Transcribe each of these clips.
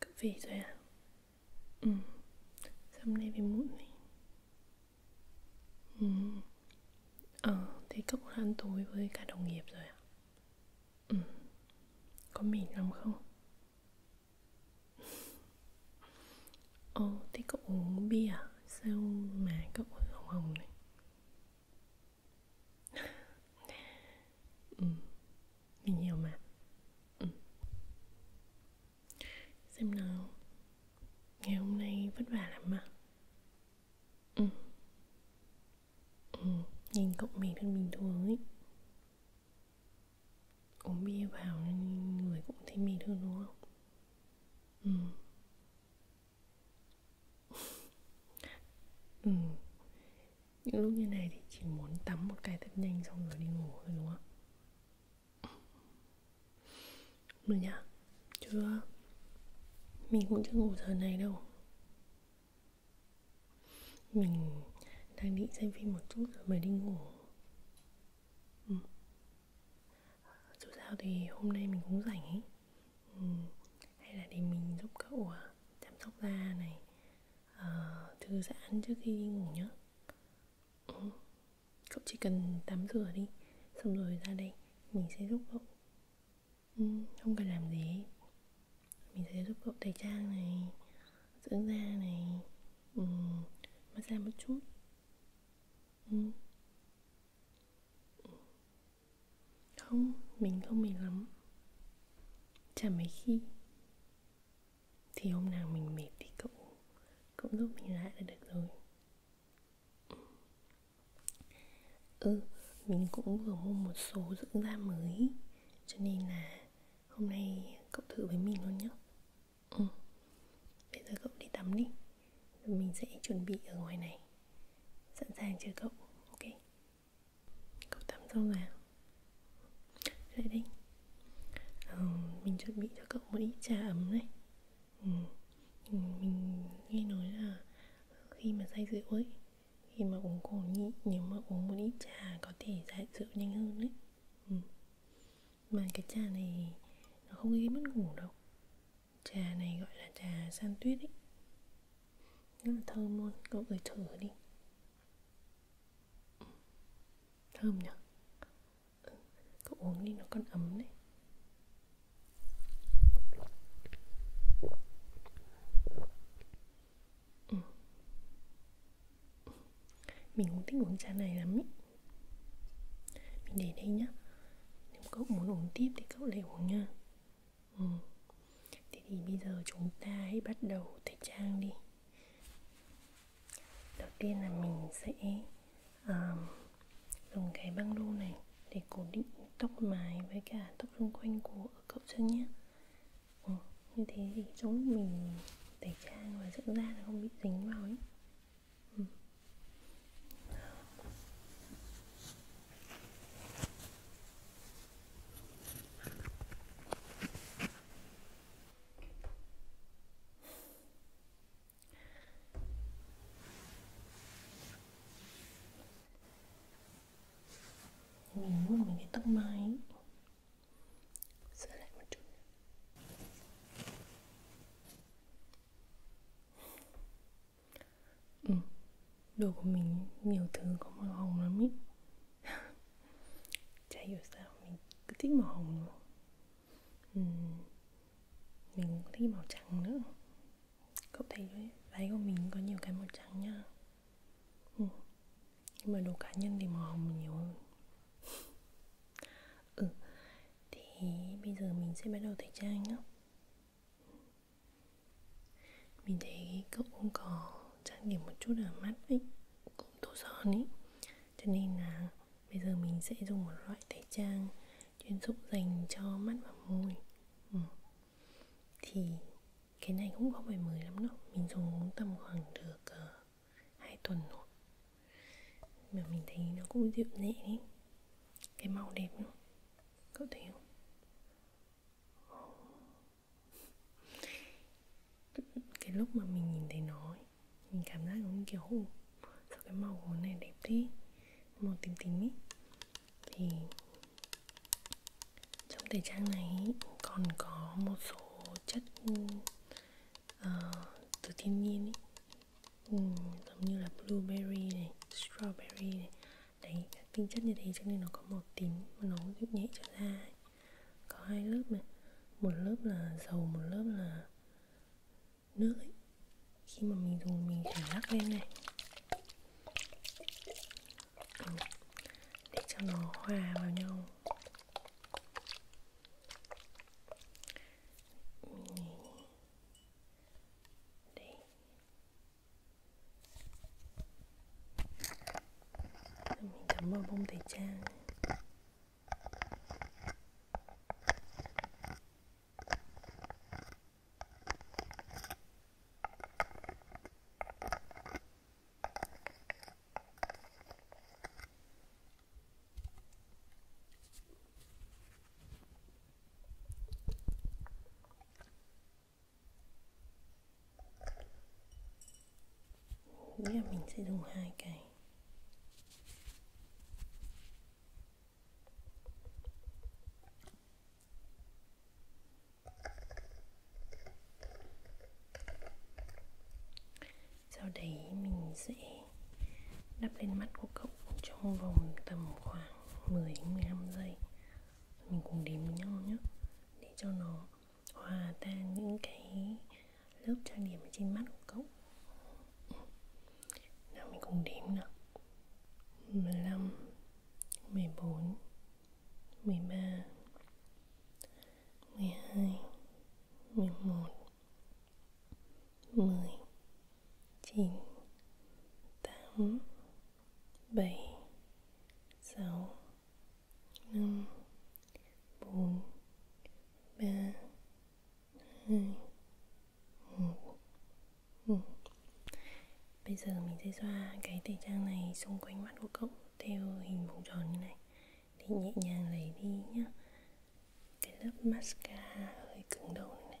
cứ về rồi à ừ hôm nay về muộn này ừ ờ thế cậu ăn tối với cả đồng nghiệp rồi à ừ có mỉm lắm không Ồ, ờ, oh, thế cậu uống bia à? Sao mà cậu hồng hồng này ừ, mình hiểu mà ừ. xem nào ngày hôm nay vất vả lắm à ừ. ừ nhìn cậu mình thân bình thường ấy uống bia vào nên người cũng thấy mệt hơn đúng không ừ ừ những lúc như này thì chỉ muốn tắm một cái thật nhanh xong rồi đi ngủ thôi đúng không ạ được nhá chưa mình cũng chưa ngủ giờ này đâu mình đang định xem phim một chút rồi mới đi ngủ ừ. dù sao thì hôm nay mình cũng rảnh ấy ừ. hay là để mình giúp cậu à, chăm sóc da này uh, ờ, thư giãn trước khi ngủ nhé ừ. cậu chỉ cần tắm rửa đi xong rồi ra đây mình sẽ giúp cậu ừ, không cần làm gì mình sẽ giúp cậu tẩy trang này dưỡng da này ừ, massage một chút ừ. ừ. không mình không mệt lắm chả mấy khi thì hôm nào mình mệt thì cậu cậu giúp mình lại là được rồi ừ mình cũng vừa mua một số dưỡng da mới cho nên là hôm nay cậu thử với mình luôn nhé ừ. bây giờ cậu đi tắm đi rồi mình sẽ chuẩn bị ở ngoài này sẵn sàng chờ cậu ok cậu tắm xong rồi à? dậy đi ừ, mình chuẩn bị cho cậu một ít trà ấm này ừ, ừ. mình nghe nói là khi mà say rượu ấy khi mà uống cồn nhị nếu mà uống một ít trà có thể giải rượu nhanh hơn đấy ừ. mà cái trà này nó không gây mất ngủ đâu trà này gọi là trà san tuyết ấy rất là thơm luôn cậu gửi thử đi thơm nhỉ ừ, cậu uống đi nó còn ấm đấy ừ. mình cũng thích uống trà này lắm ý mình để đây nhá nếu cậu muốn uống tiếp thì cậu lại uống nha ừ. Thế thì bây giờ chúng ta hãy bắt đầu thời trang đi Đầu tiên là mình sẽ um, dùng cái băng đô này để cố định tóc mái với cả tóc xung quanh của cậu chân nhé ừ, Như thế thì giống mình tẩy trang và dưỡng da nó không bị dính vào ấy ừ mình vuốt mình cái tóc mai ấy. sửa lại một chút ừ đồ của mình nhiều thứ có màu hồng lắm ý chả hiểu sao mình cứ thích màu hồng uhm, mình cũng thích màu trắng nữa cậu thấy đấy váy của mình có nhiều cái màu trắng nha uhm. nhưng mà đồ cá nhân thì màu hồng nhiều hơn ừ thì bây giờ mình sẽ bắt đầu tẩy trang nhé mình thấy cậu cũng có trang điểm một chút ở mắt ấy cũng tô son ấy cho nên là bây giờ mình sẽ dùng một loại tẩy trang chuyên dụng dành cho mắt và môi ừ. thì cái này cũng không phải mới lắm đâu mình dùng tầm khoảng được uh, ờ, 2 tuần rồi mà mình thấy nó cũng dịu nhẹ ấy cái màu đẹp nữa cậu thấy không cái lúc mà mình nhìn thấy nó ấy, mình cảm giác giống như kiểu hù sao cái màu của này đẹp thế màu tím tím ấy thì trong thời trang này còn có một số chất uh, từ thiên nhiên ấy um, giống như là blueberry này strawberry này đấy các tinh chất như thế cho nên nó có màu tím mà nó giúp nhẹ cho da ấy có hai lớp này một lớp là dầu một lớp là nước ấy. khi mà mình dùng mình phải lắc lên này để cho nó hòa vào nhau mình... Đây mình chấm vào bông tẩy trang nghĩa là mình sẽ dùng hai cái sau đấy mình sẽ đắp lên mắt của cậu trong vòng tầm khoảng 10 đến 15 giây mình cùng đếm với nhau nhé để cho nó hòa tan những cái lớp trang điểm ở trên mắt của cậu nào mình cùng đếm nào 15 14 13 12 11 10 9 8 7 6 năm bốn ba hai một bây giờ mình sẽ xoa cái tẩy trang này xung quanh mắt của cậu theo hình vòng tròn như này thì nhẹ nhàng lấy đi nhá cái lớp mascara hơi cứng đầu này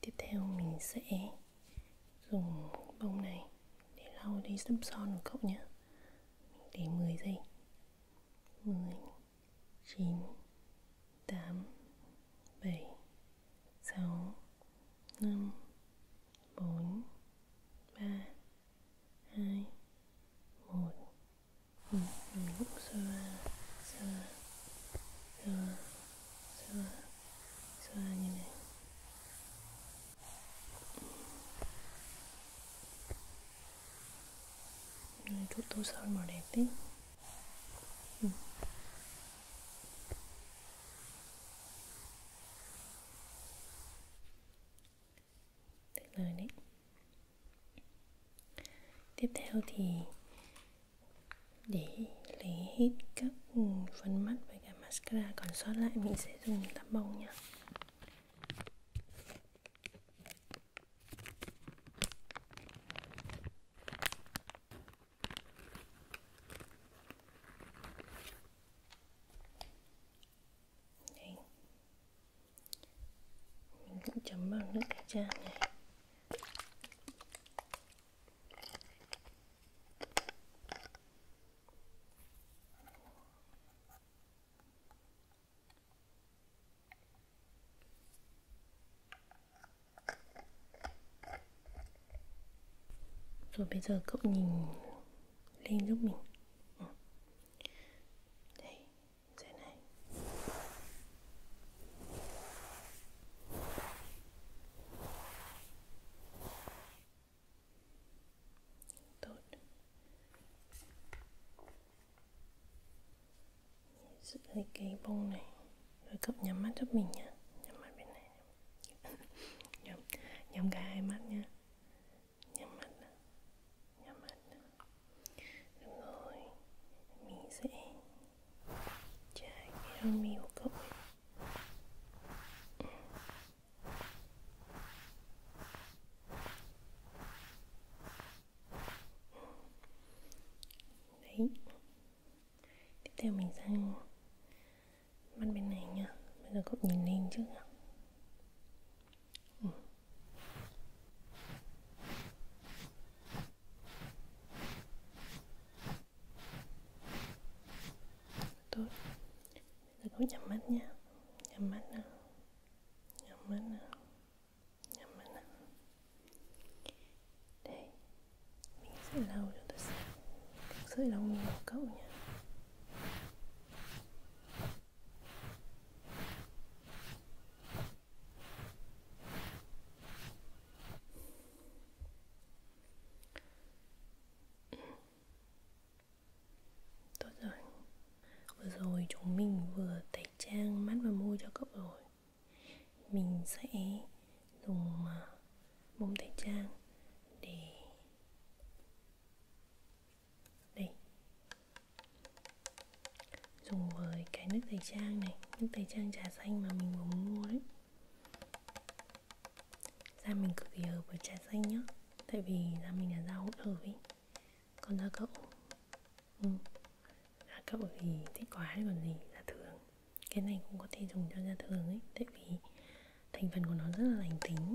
tiếp theo mình sẽ dùng bông này để lau đi sâm son của cậu nhé để 10 giây 10 9 8 7 6 5 4 3 2 1 mình hút sơ sơ sơ sơ sơ như này này chút tô sơn màu đẹp tí ừ. tuyệt vời đấy tiếp theo thì để lấy hết các phấn mắt với cả mascara còn sót lại mình sẽ dùng tăm bông nhé mình cũng chấm vào nước cái chan này rồi bây giờ cậu nhìn lên giúp mình ừ. Đấy, dưới này tốt giữ lấy cái bông này rồi cậu nhắm mắt giúp mình nhá nhắm mắt bên này nhắm nhắm cả hai mắt nhá nhắm mắt nhắm mắt đúng rồi mình sẽ trải cái lông mi của cậu ấy đấy tiếp theo mình sang mắt bên này nha bây giờ cậu nhìn lên trước nha ừ tốt giờ cũng nhắm mắt nha nhắm mắt nào nhắm mắt nào nhắm mắt nào đây mình sẽ lau cho tôi sẽ sợi lòng mình của cậu nha Tốt rồi Vừa rồi chúng mình vừa tẩy trang mắt và môi cho cậu rồi Mình sẽ dùng bông à, tẩy trang để Đây dùng với cái nước tẩy trang này nước tẩy trang trà xanh mà mình vừa mua đấy da mình cực kỳ hợp với trà xanh nhá tại vì da mình là da hỗn hợp ấy còn da cậu ừ. da cậu thì thích quá còn gì da thường cái này cũng có thể dùng cho da thường ấy tại vì thành phần của nó rất là lành tính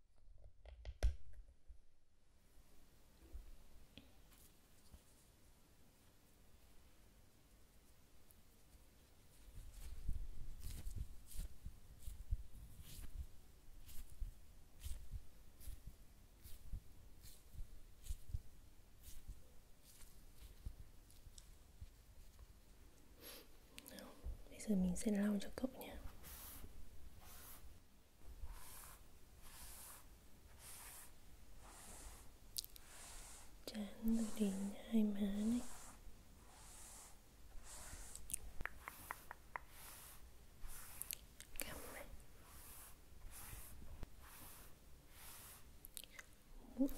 Nào, bây giờ mình sẽ lau cho cậu nhé trán từ đỉnh hai má này cằm này mũi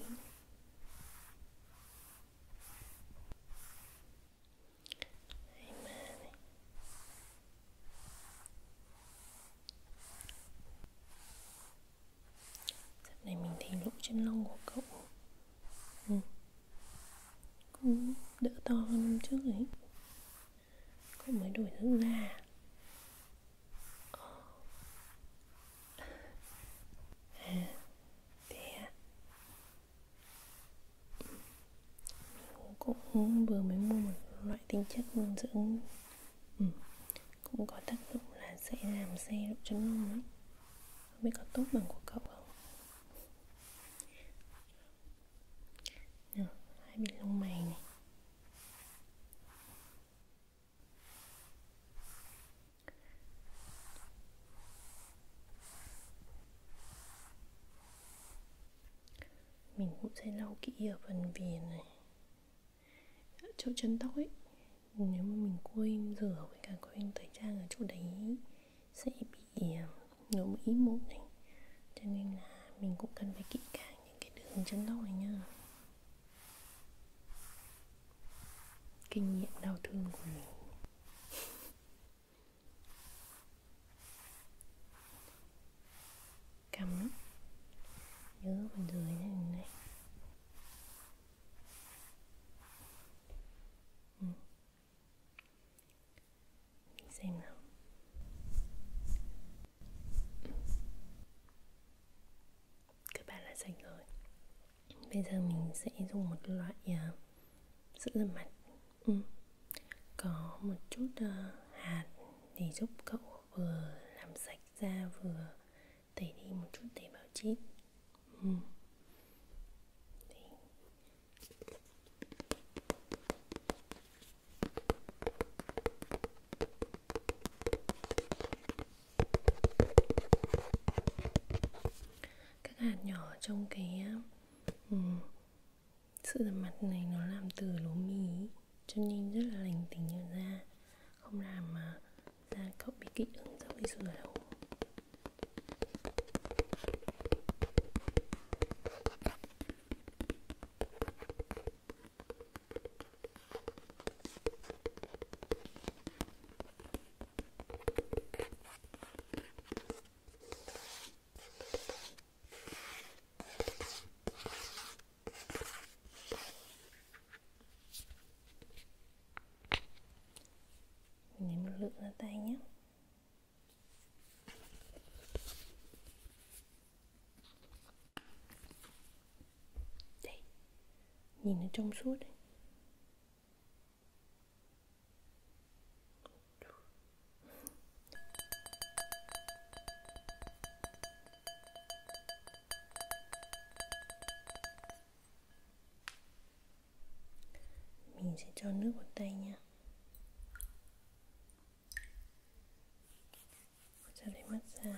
Amen. Dạo này mình thấy lỗ chân lông của cậu ừ. cũng đỡ to hơn hôm trước ấy cậu mới đổi nước da ờ. à, thế à? cũng vừa mới mua một loại tinh chất dưỡng ừ. cũng có tác dụng là sẽ làm xe độ chân lông ấy không biết có tốt bằng của cậu không nào, hai bên lông mày này mình cũng sẽ lau kỹ ở phần viền này ở chỗ chân tóc ấy nếu mà mình quên rửa với cả quên tẩy trang ở chỗ đấy sẽ bị à, nổi mũi mụn này cho nên là mình cũng cần phải kỹ càng những cái đường chân tóc này nha kinh nghiệm đau thương của mình cắm nhớ bên dưới này này ừ. Mình xem nào các bạn đã sạch rồi bây giờ mình sẽ dùng một loại uh, sữa rửa mặt ừ. có một chút uh, hạt để giúp cậu vừa làm sạch da vừa tẩy đi một chút tế bào chip ừ. các hạt nhỏ trong cái um, sự rửa mặt này nó làm từ lúa mì Cho nên rất là lành tính ở da Không làm mà da cậu bị kích ứng sau khi sửa đâu lấy một lượng ra tay nhé đây nhìn nó trong suốt đấy mình sẽ cho nước vào tay nha cho lấy mắt ra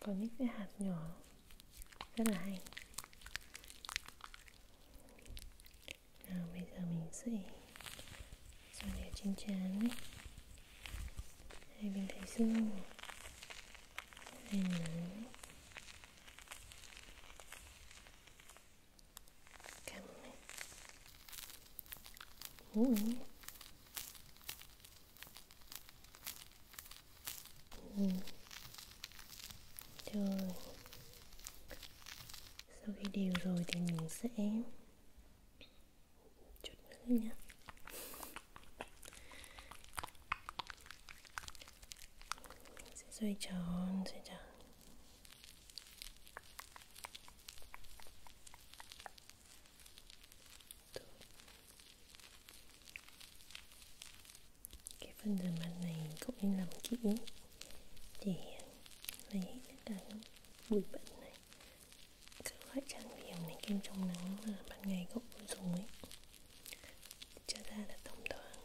có những cái hạt nhỏ rất là hay nào bây giờ mình sẽ cho đều trên trán ấy hai bên thái dương lên nữa cắn Ủa. Ừ. Trời Sau khi đều rồi thì mình sẽ Chút nữa nha xoay tròn xoay tròn Tốt. cái phần rửa mặt này cũng nên làm kỹ để lấy hết cả bụi bẩn này các loại trang điểm này kem chống nắng là ban ngày cậu dùng ấy cho da là thông thoáng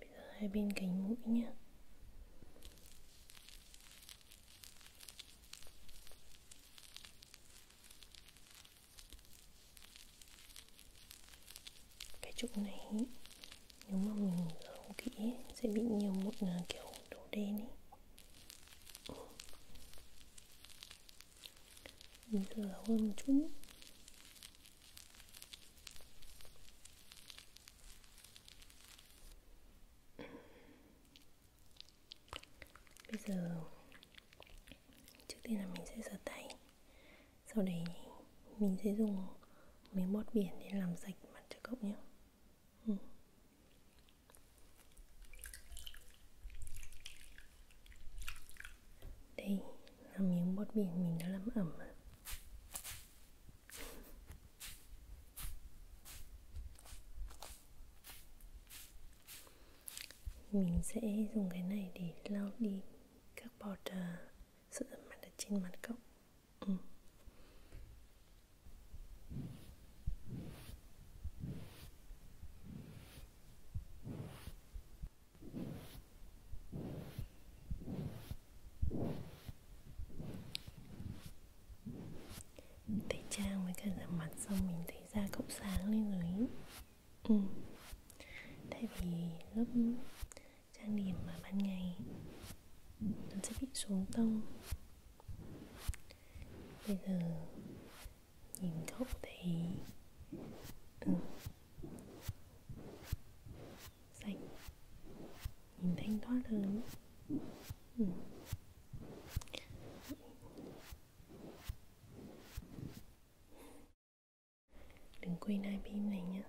bây giờ hai bên cánh mũi nhé cái trụ này nếu mà mình không kỹ sẽ bị nhiều mụn à, kiểu đổ đen ấy mình rửa hơn một chút Bây giờ Trước tiên là mình sẽ rửa tay Sau đấy mình sẽ dùng miếng bọt biển để làm sạch mặt cho cậu nhé ừ. Đây là miếng bọt biển mình đã làm ẩm mình sẽ dùng cái này để lau đi các bọt uh, sữa mặt ở trên mặt cậu ừ tẩy trang với cả rửa mặt xong mình thấy da cũng sáng lên rồi ý. ừ. tại vì lớp trang điểm mà ban ngày nó sẽ bị xuống tông bây giờ nhìn cậu thấy ừ sạch nhìn thanh thoát hơn ừ. đừng quên hai pin này nhé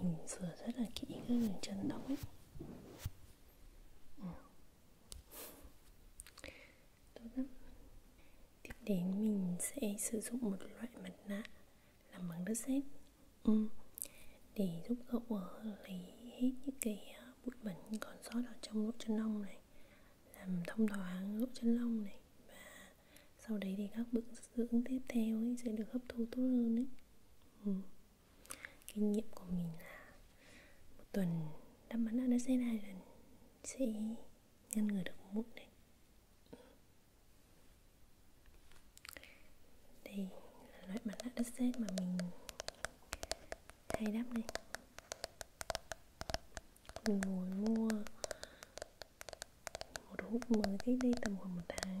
mình rửa rất là kỹ các đường chân tóc ấy Tốt lắm Tiếp đến mình sẽ sử dụng một loại mặt nạ làm bằng đất sét ừ. Để giúp cậu ờ, lấy hết những cái ờ, bụi bẩn còn sót ở trong lỗ chân lông này Làm thông thoáng lỗ chân lông này Và sau đấy thì các bước dưỡng tiếp theo ấy sẽ được hấp thu tốt hơn ấy ừ kinh nghiệm của mình là một tuần đắp mặt nạ nó sẽ hai lần sẽ ngăn ngừa được mụn này đây là loại mặt nạ đất sét mà mình hay đắp này mình ngồi mua một hũ mới cách đây tầm khoảng một tháng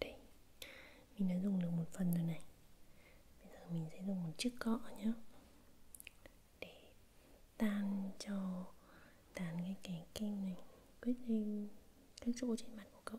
Đây, mình đã dùng được một phần rồi này Bây giờ mình sẽ dùng một chiếc cọ nhé Để tan cho tan cái cái kem này Quyết định các chỗ trên mặt của cậu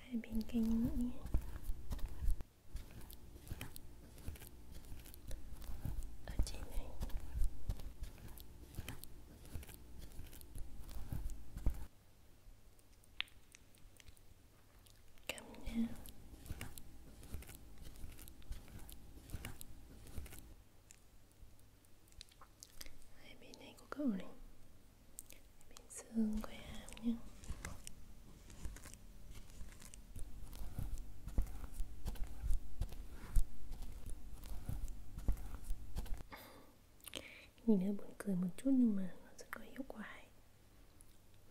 hai bên kênh mũi ở trên này cầm nha hai bên này của cậu này bên xương của em nhé nhìn hơi buồn cười một chút nhưng mà nó rất có hiệu quả ấy.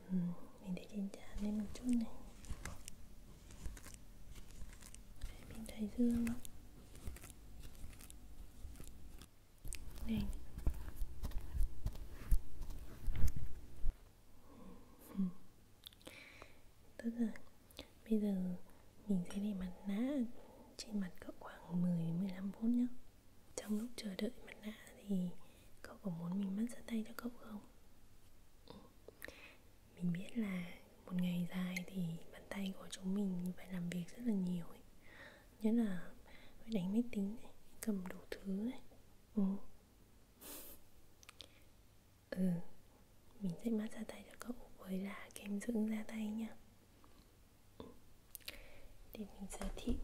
Ừ, mình để trên trán lên một chút này bên thái dương Nhanh Tốt rồi Bây giờ mình sẽ để mặt nạ trên mặt cậu khoảng 10-15 phút nhé Trong lúc chờ đợi mặt nạ thì cậu có muốn mình massage tay cho cậu không? Mình biết là một ngày dài thì bàn tay của chúng mình phải làm việc rất là nhiều ấy nhất là phải đánh máy tính này cầm đủ thứ này ừ. ừ mình sẽ massage tay cho cậu với là kem dưỡng da tay nha để mình giới thiệu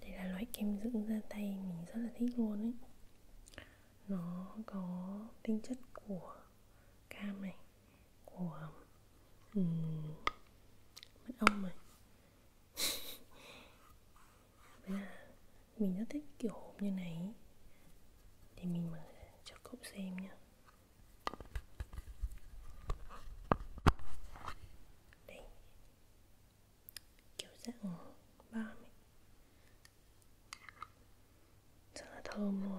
đây là loại kem dưỡng da tay mình rất là thích luôn ấy nó có tinh chất của cam này của um, mật ong mà Với là mình rất thích kiểu hộp như này Thì mình mở cho cậu xem nhá Đây Kiểu dạng bom ấy Rất là thơm luôn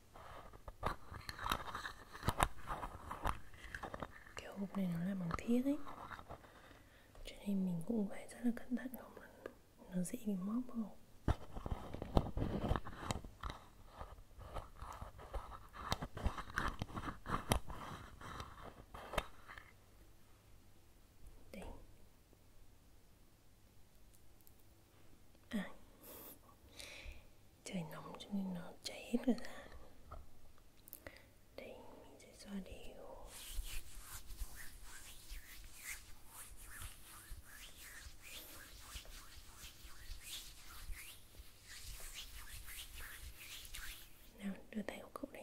Kiểu hộp này nó là bằng thiết ấy Cho nên mình cũng phải rất là cẩn thận không là nó dễ bị móc vào trời nóng cho nên nó chảy hết rồi ra đây mình sẽ xoa đều nào đưa tay vào cốc đánh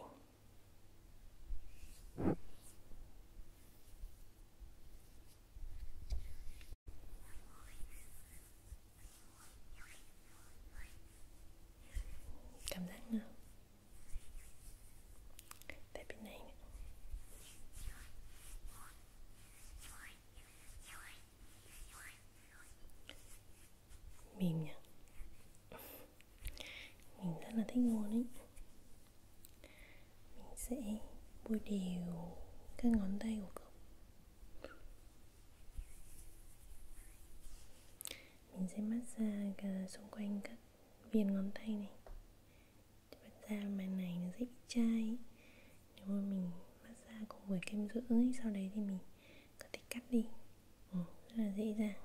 cảm giác nào tại bên này mềm nhỉ mình rất là thích ngón ấy mình sẽ bôi đều các ngón tay của cậu mình sẽ massage ờ, xung quanh các viên ngón tay này thật ra màn này nó rất chai nếu mà mình massage cùng với kem dưỡng sau đấy thì mình có thể cắt đi ừ, rất là dễ dàng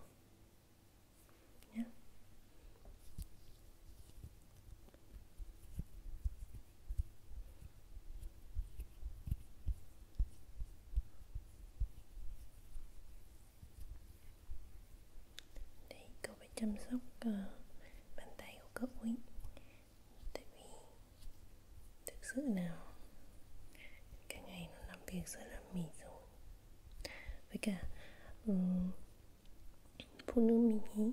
Đấy, cậu phải chăm sóc uh, bàn tay của cậu ấy Tại vì thực sự nào Cả ngày nó làm việc rất là mệt rồi Với cả um, phụ nữ mình ý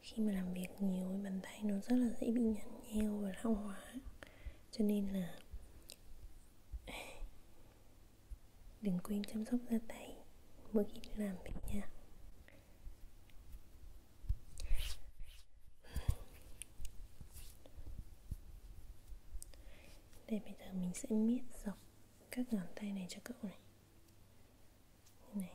khi mà làm việc nhiều với bàn tay nó rất là dễ bị nhăn nheo và lão hóa cho nên là đừng quên chăm sóc da tay mỗi khi đi làm việc nha đây bây giờ mình sẽ miết dọc các ngón tay này cho cậu này như này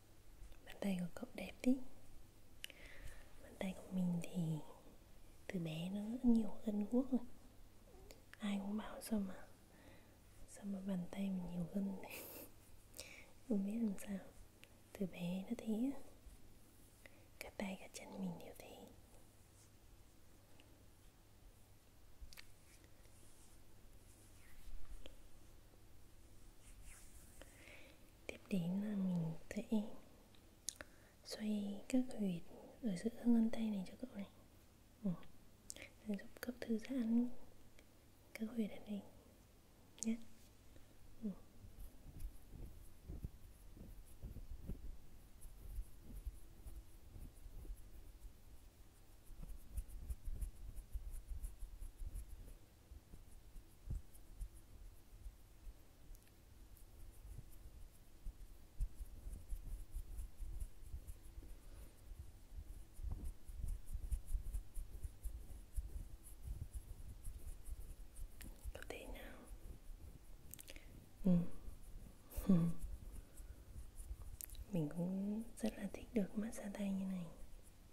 bàn tay của cậu đẹp tí bàn tay của mình thì từ bé nó rất nhiều gân guốc rồi ai cũng bảo sao mà sao mà bàn tay mình nhiều gân này không biết làm sao từ bé nó thế cả tay cả chân mình đều thế tiếp đến là mình sẽ xoay các huyệt ở giữa ngón tay này cho cậu này ừ. Để giúp cậu thư giãn các huyệt ở đây nhé ừ có thể nào ừ. ừ. mình cũng rất là thích được massage tay như này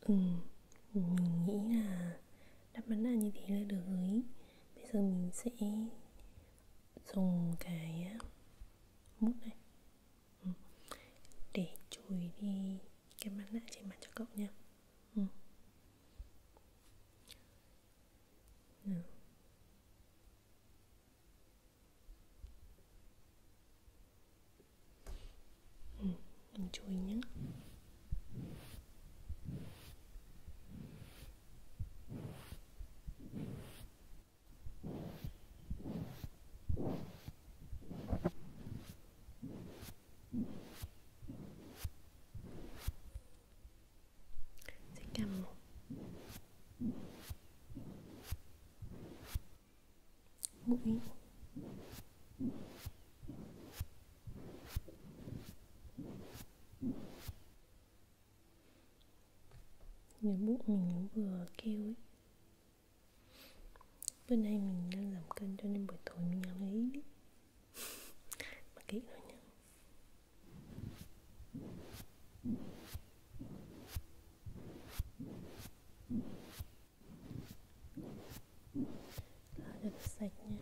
ừ mình nghĩ là đáp án là như thế là được rồi bây giờ mình sẽ dùng cái mút này ừ. để chùi đi cái mặt nạ trên mặt cho cậu nha ừ. Ừ ừ, mình chui nhé sẽ cầm một mũi Nhà bút mình vừa kêu ấy Bữa nay mình đang làm kênh cho nên buổi tối mình làm ấy đi Mà kỹ rồi nha Lau cho nó sạch nha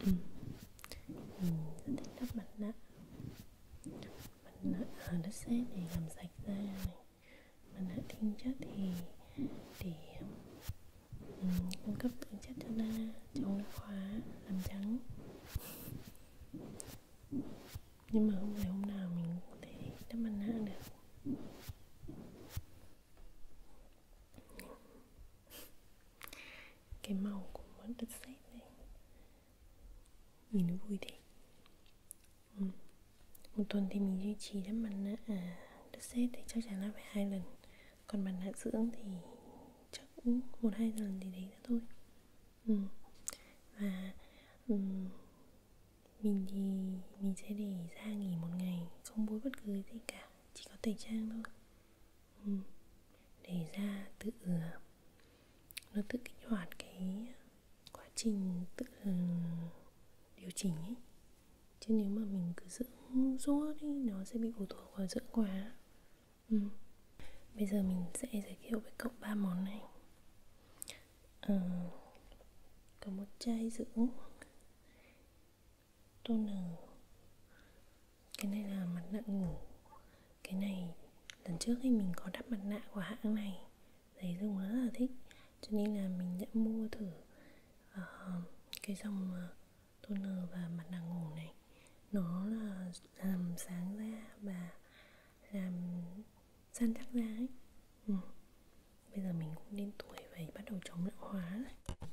ừ. Mình rất thích đắp mặt nạ Mặt nạ ở đất sét để làm sạch da này Mặt nạ tinh chất thì để um, cung cấp tinh chất cho da chống lão hóa làm trắng nhưng mà không phải hôm nào mình cũng có thể đắp mặt nạ được cái màu của món đất sét này nhìn nó vui thế ừ. một tuần thì mình duy trì đắp mặt nạ à, đất sét thì chắc chắn là phải hai lần còn mặt nạ dưỡng thì chắc một hai lần thì đấy là thôi ừ. và um, mình thì mình sẽ để ra nghỉ một ngày Không bối bất cứ gì cả Chỉ có tẩy trang thôi ừ. Để ra tự ừ, Nó tự kích hoạt cái quá trình tự ừ, điều chỉnh ấy Chứ nếu mà mình cứ dưỡng suốt đi Nó sẽ bị phụ thuộc vào dưỡng quá ừ. Bây giờ mình sẽ giới thiệu với cậu ba món này à, có một chai dưỡng toner cái này là mặt nạ ngủ cái này lần trước thì mình có đắp mặt nạ của hãng này đấy dùng rất là thích cho nên là mình đã mua thử uh, cái dòng uh, ờ, toner và mặt nạ ngủ này nó là làm sáng da và làm Gian chắc ra ấy ừ. Bây giờ mình cũng đến tuổi phải bắt đầu chống lão hóa rồi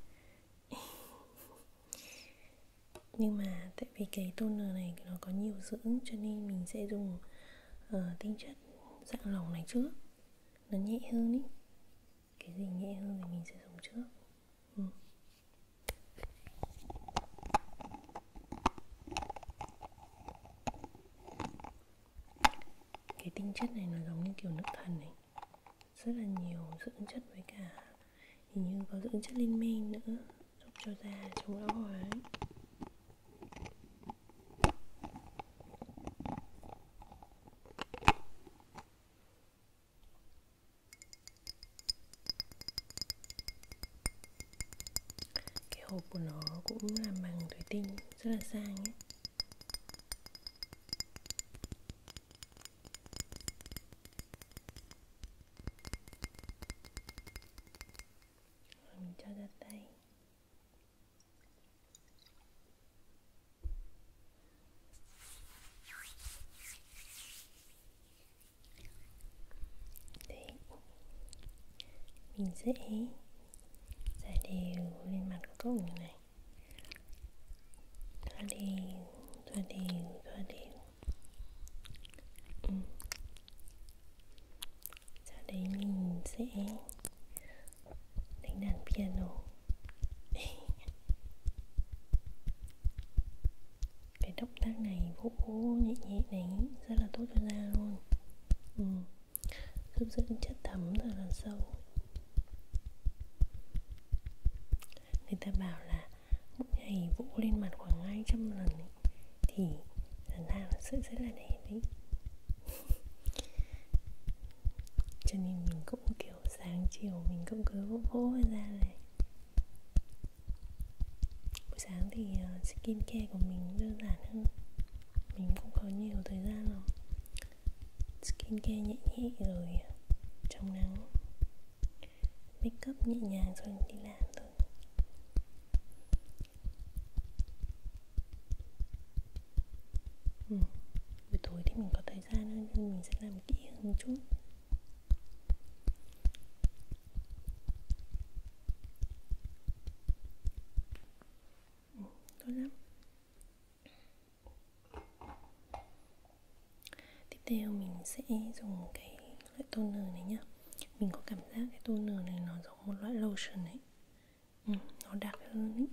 Nhưng mà tại vì cái toner này nó có nhiều dưỡng Cho nên mình sẽ dùng uh, tinh chất dạng lỏng này trước Nó nhẹ hơn ý Cái gì nhẹ hơn thì mình sẽ dùng trước ừ cái tinh chất này nó giống như kiểu nước thần này rất là nhiều dưỡng chất với cả hình như có dưỡng chất lên men nữa giúp cho da chống lão hóa ấy cái hộp của nó cũng làm bằng thủy tinh rất là sang ấy Rồi mình cho ra tay Đấy, mình sẽ giải đều lên mặt của cậu này thoa đều thoa đều thoa đều ừ. sau đấy mình sẽ đánh đàn piano cái động tác này vỗ nhẹ nhẹ này rất là tốt cho da luôn ừ. giúp giữ chất thấm ở là sâu người ta bảo là mỗi ngày vỗ lên mặt khoảng 200 lần ấy, thì làn da nó sẽ rất là đẹp đấy cho nên mình cũng kiểu sáng chiều mình cũng cứ vỗ vỗ ra này buổi sáng thì ờ, skin care của mình đơn giản hơn mình cũng có nhiều thời gian rồi skin care nhẹ nhẹ rồi chống nắng make up nhẹ nhàng rồi đi làm thôi ừ. buổi tối thì mình có thời gian hơn nhưng mình sẽ làm kỹ hơn một chút tốt lắm tiếp theo mình sẽ dùng cái loại toner này nhá mình có cảm giác cái toner này nó giống một loại lotion ấy ừ, nó đặc hơn ấy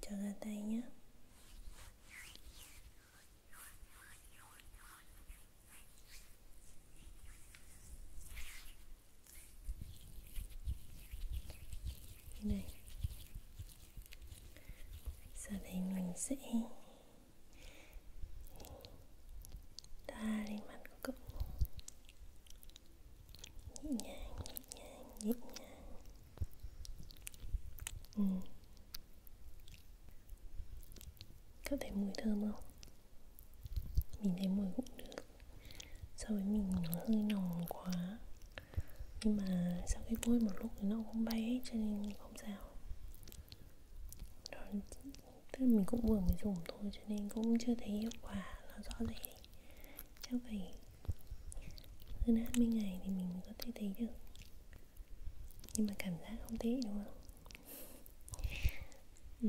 cho ra tay nhé như này giờ đây mình sẽ ta lên mặt của cậu nhẹ nhàng nhẹ nhàng nhẹ nhàng ừ có thấy mùi thơm không mình thấy mùi cũng được so với mình nó hơi nồng quá nhưng mà sau khi bôi một lúc thì nó cũng bay hết cho nên không sao đó, tức là mình cũng vừa mới dùng thôi cho nên cũng chưa thấy hiệu quả nó rõ rệt chắc phải hơn 20 ngày thì mình mới có thể thấy được nhưng mà cảm giác không tí đúng không ừ.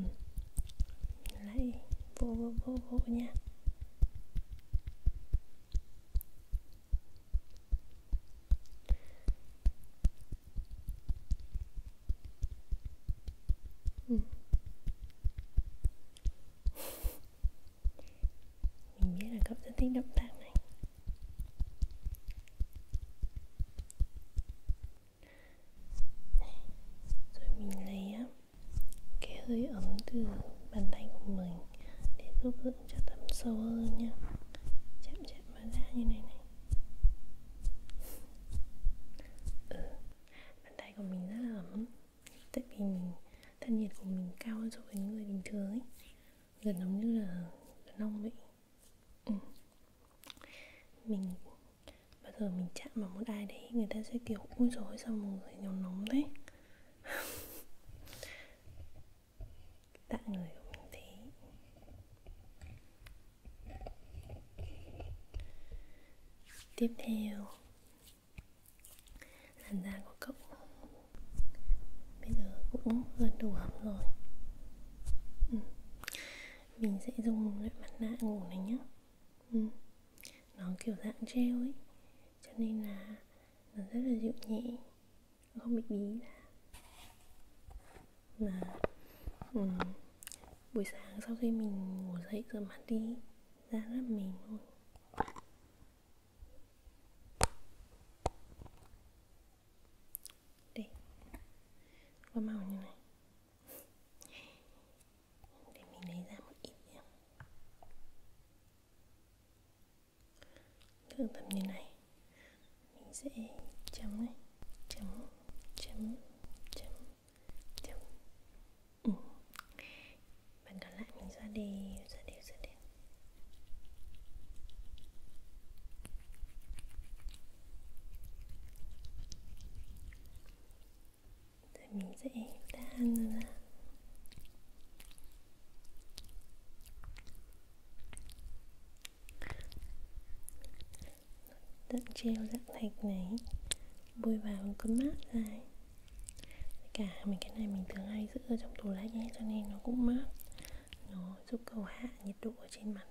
lại vô vô vô vô nha ừ. mình biết là cậu rất thích động tác này rồi mình lấy cái hơi ấm từ bàn tay của mình để giúp dưỡng cho tắm sâu hơn nhá Chạm chạm vào da như này này ừ. Bàn tay của mình rất là ấm Tại vì mình, thân nhiệt của mình cao hơn so với người bình thường ấy Gần giống như là nông vậy ừ. mình bao giờ mình chạm vào một ai đấy người ta sẽ kiểu ui rồi sao mù rồi nhóm nóng đấy tạng người của mình thế tiếp theo làn da của cậu bây giờ cũng gần đủ ấm rồi ừ. mình sẽ dùng loại mặt nạ ngủ này nhé ừ. nó kiểu dạng gel ấy cho nên là nó rất là dịu nhẹ không bị bí là mà ừ. buổi sáng sau khi mình ngủ dậy rửa mặt đi da rất mềm luôn đây có màu như này để mình lấy ra một ít nhé tương tầm như này mình sẽ chấm này chấm chấm chấm chấm ừ. và còn lại mình xoa đều xoa đều xoa đều rồi mình sẽ tan ra Tận treo dạng thạch này Bôi vào cứ mát ra Cả mình cái này mình thường hay giữ ở trong tủ lạnh ấy, Cho nên nó cũng mát Nó giúp cầu hạ nhiệt độ ở trên mặt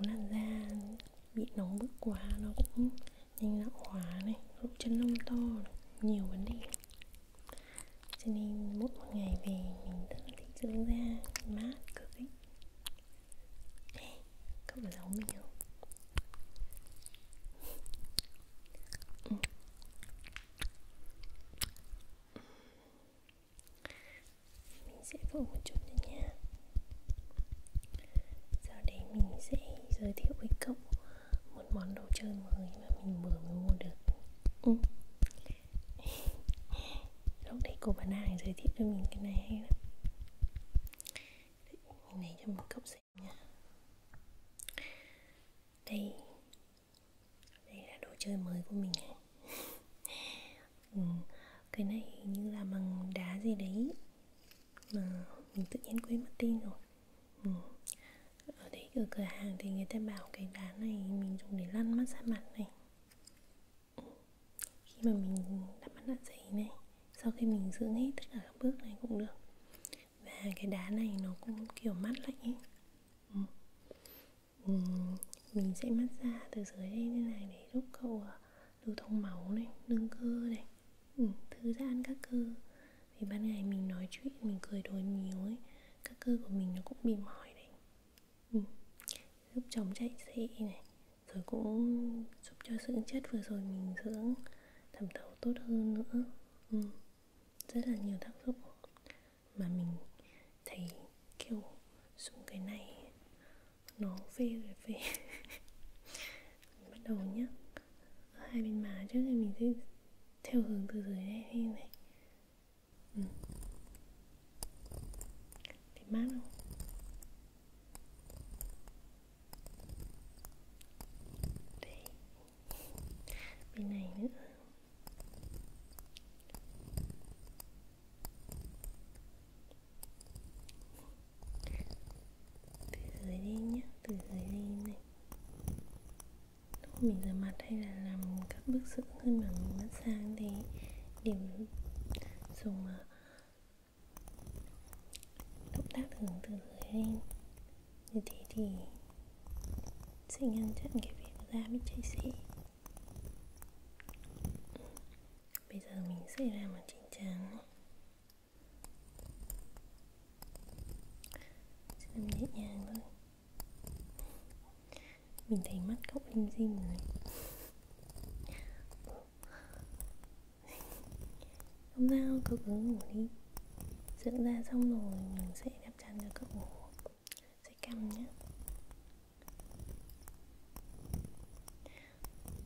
nếu làn da bị nóng bức quá nó cũng nhanh lão hóa này lỗ chân lông to này. nhiều vấn đề cho nên mỗi một ngày về mình rất là thích dưỡng da mát cực ấy hey, cậu có giống mình không ừ mình sẽ vỗ một chút nữa nha sau đấy mình sẽ giới thiệu với cậu một món đồ chơi mới mà mình vừa mới mua được ừ. lúc đấy cô bán hàng giới thiệu cho mình cái này hay lắm đấy, mình lấy cho một cậu xem nha đây đây là đồ chơi mới của mình này ừ, cái này hình như là bằng đá gì đấy mà mình tự nhiên quên mất tên rồi ừ. ở đấy ở cửa hàng thì người ta bảo cái đá này mình dùng để lăn massage mặt này ừ. khi mà mình đã mắt đã giấy này sau khi mình dưỡng hết tất cả các bước này cũng được và cái đá này nó cũng kiểu mát lạnh ấy ừ ừ, mình sẽ mát xa từ dưới đây như này để giúp cậu ờ, lưu thông máu này nâng cơ này ừ, thư giãn các cơ vì ban ngày mình nói chuyện mình cười đùa nhiều ấy các cơ của mình nó cũng bị mỏi đấy ừ. giúp chồng chạy xệ này rồi cũng giúp cho dưỡng chất vừa rồi mình dưỡng thẩm thấu tốt hơn nữa ừ. rất là nhiều tác dụng mà mình thấy kiểu dùng cái này nó phê rồi phê bắt đầu nhá hai bên má trước thì mình sẽ theo hướng từ dưới đây như này ừ. thấy mát không đây bên này nữa từ dưới lên nhé từ dưới lên này lúc mình rửa mặt hay là làm các bước dưỡng hơn mà mình massage thì điểm dùng ờ, động tác hướng từ dưới lên như thế thì xin ngăn chặn cái việc da bị chảy xị bây giờ mình sẽ làm một chỉnh trắng sẽ làm nhẹ nhàng thôi mình thấy mắt cậu lim dim rồi không sao cậu cứ ngủ đi dưỡng da xong rồi mình sẽ đắp chăn cho cậu ngủ sẽ cầm nhé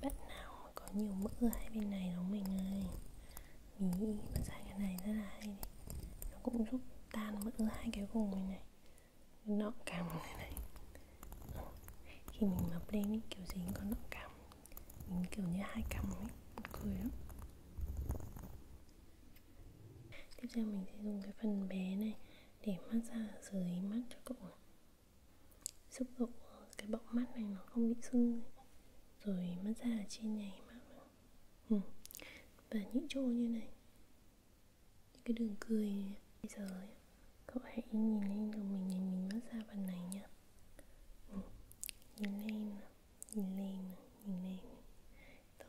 bạn nào có nhiều mỡ ở hai bên này nó mình ơi mình nghĩ mà xài cái này rất là hay đấy. nó cũng giúp tan mỡ hai cái vùng này này nọ cằm này này khi mình mập lên ấy, kiểu gì cũng có nọ cằm mình kiểu như hai cằm ấy cười lắm tiếp theo mình sẽ dùng cái phần bé này để massage ở dưới mắt cho cậu này. giúp cậu cái bọng mắt này nó không bị sưng rồi massage ở trên này mắt ừ. và những chỗ như này những cái đường cười này. bây giờ cậu hãy nhìn lên đầu mình nhìn mình massage phần này nhá ừ. nhìn lên nhìn lên nhìn lên Tốt.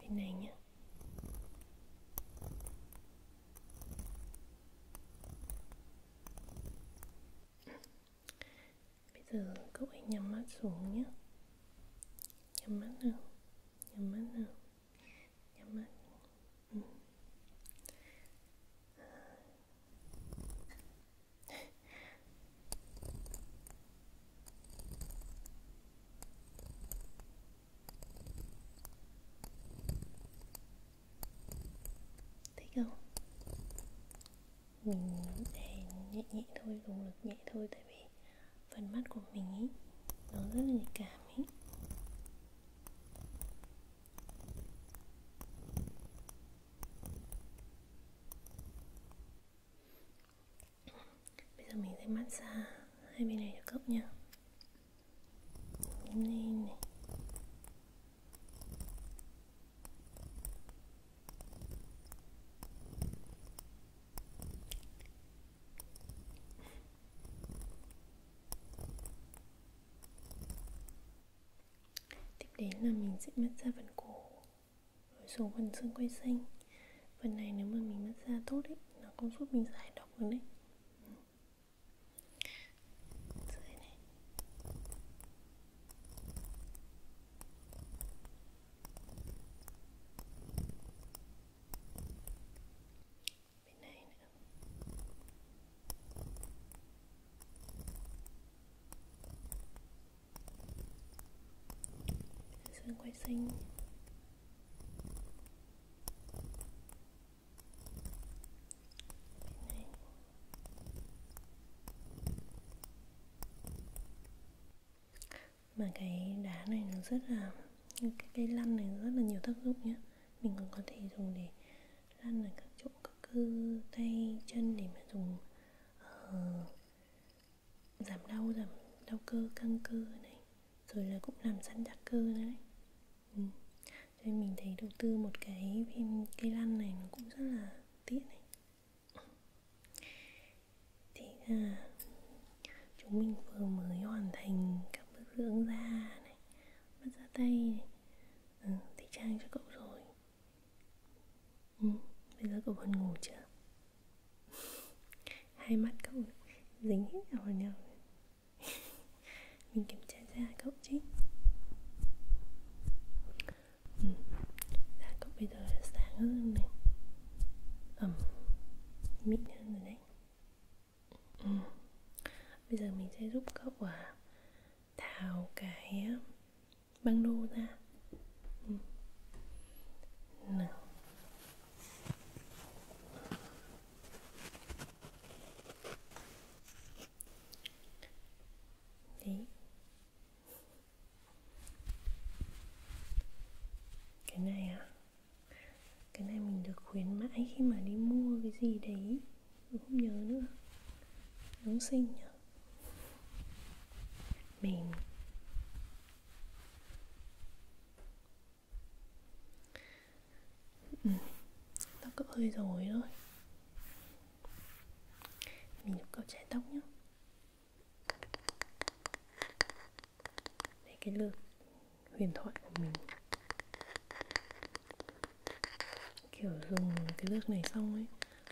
Bên này nhé Bây giờ cậu hãy nhắm mắt xuống nhé Nhắm mắt nào Nhắm mắt nào nhưng mà ừ. Ờ. thấy không mình để nhẹ nhẹ thôi dùng lực nhẹ thôi tại vì phần mắt của mình ý nó rất là nhạy cảm ý bây giờ mình sẽ massage hai bên này cho cậu nha lên này tiếp đến là mình sẽ mất ra phần cổ rồi xuống phần xương quay xanh phần này nếu mà mình mất ra tốt ấy nó cũng giúp mình giải độc được đấy bên này nữa xương quay xanh mà cái đá này nó rất là cái cây lăn này rất là nhiều tác dụng nhé mình còn có thể dùng để lăn ở các chỗ các cơ tay chân để mà dùng uh, giảm đau giảm đau cơ căng cơ này rồi là cũng làm săn chắc cơ nữa đấy ừ. cho nên mình thấy đầu tư một cái viên cây lăn này nó cũng rất là tiện này thế là chúng mình vừa mới hoàn thành các bước dưỡng da này bắt da tay này ừ, thì trang cho cậu rồi ừ, bây giờ cậu còn ngủ chưa hai mắt cậu dính hết vào nhau mình kiểm tra da cậu chứ ừ, da cậu bây giờ là sáng hơn này ẩm mịn hơn rồi đấy ừ. bây giờ mình sẽ giúp cậu à tháo cái băng đô ra ừ. nào đấy cái này à cái này mình được khuyến mãi khi mà đi mua cái gì đấy mình không nhớ nữa Giáng sinh nhỉ Mình ừ. Tóc cậu hơi rồi thôi Mình giúp cậu chải tóc nhé về cái lượt huyền thoại của mình kiểu dùng cái lượt này xong ấy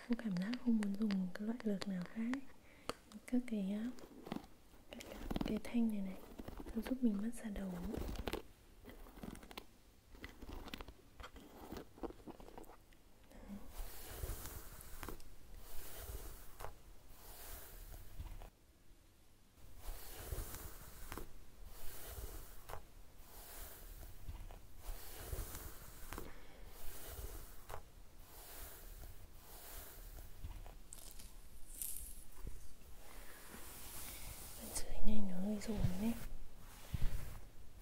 không cảm giác không muốn dùng cái loại lượt nào khác các cái các cái, cái thanh này này nó giúp mình mất ra đầu dưới này nó hơi rồn đấy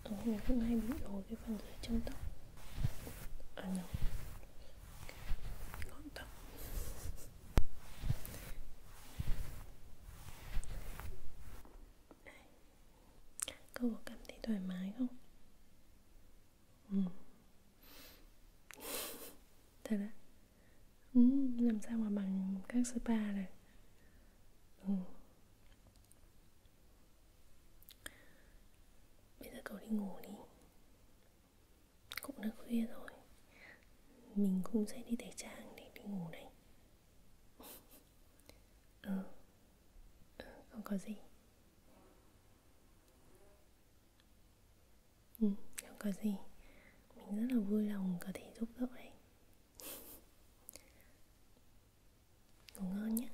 ở mình cũng hay bị ổi cái phần dưới chân tóc à nhầm no. Cô có cảm thấy thoải mái không? Ừ. Thật á? Ừ, làm sao mà bằng các spa này ừ. Bây giờ cậu đi ngủ đi cũng đã khuya rồi Mình cũng sẽ đi tẩy trang để đi ngủ đây Ừ Ừ, không có gì Ừ, không có gì Mình rất là vui lòng có thể giúp đỡ đấy Ngủ ngon nhé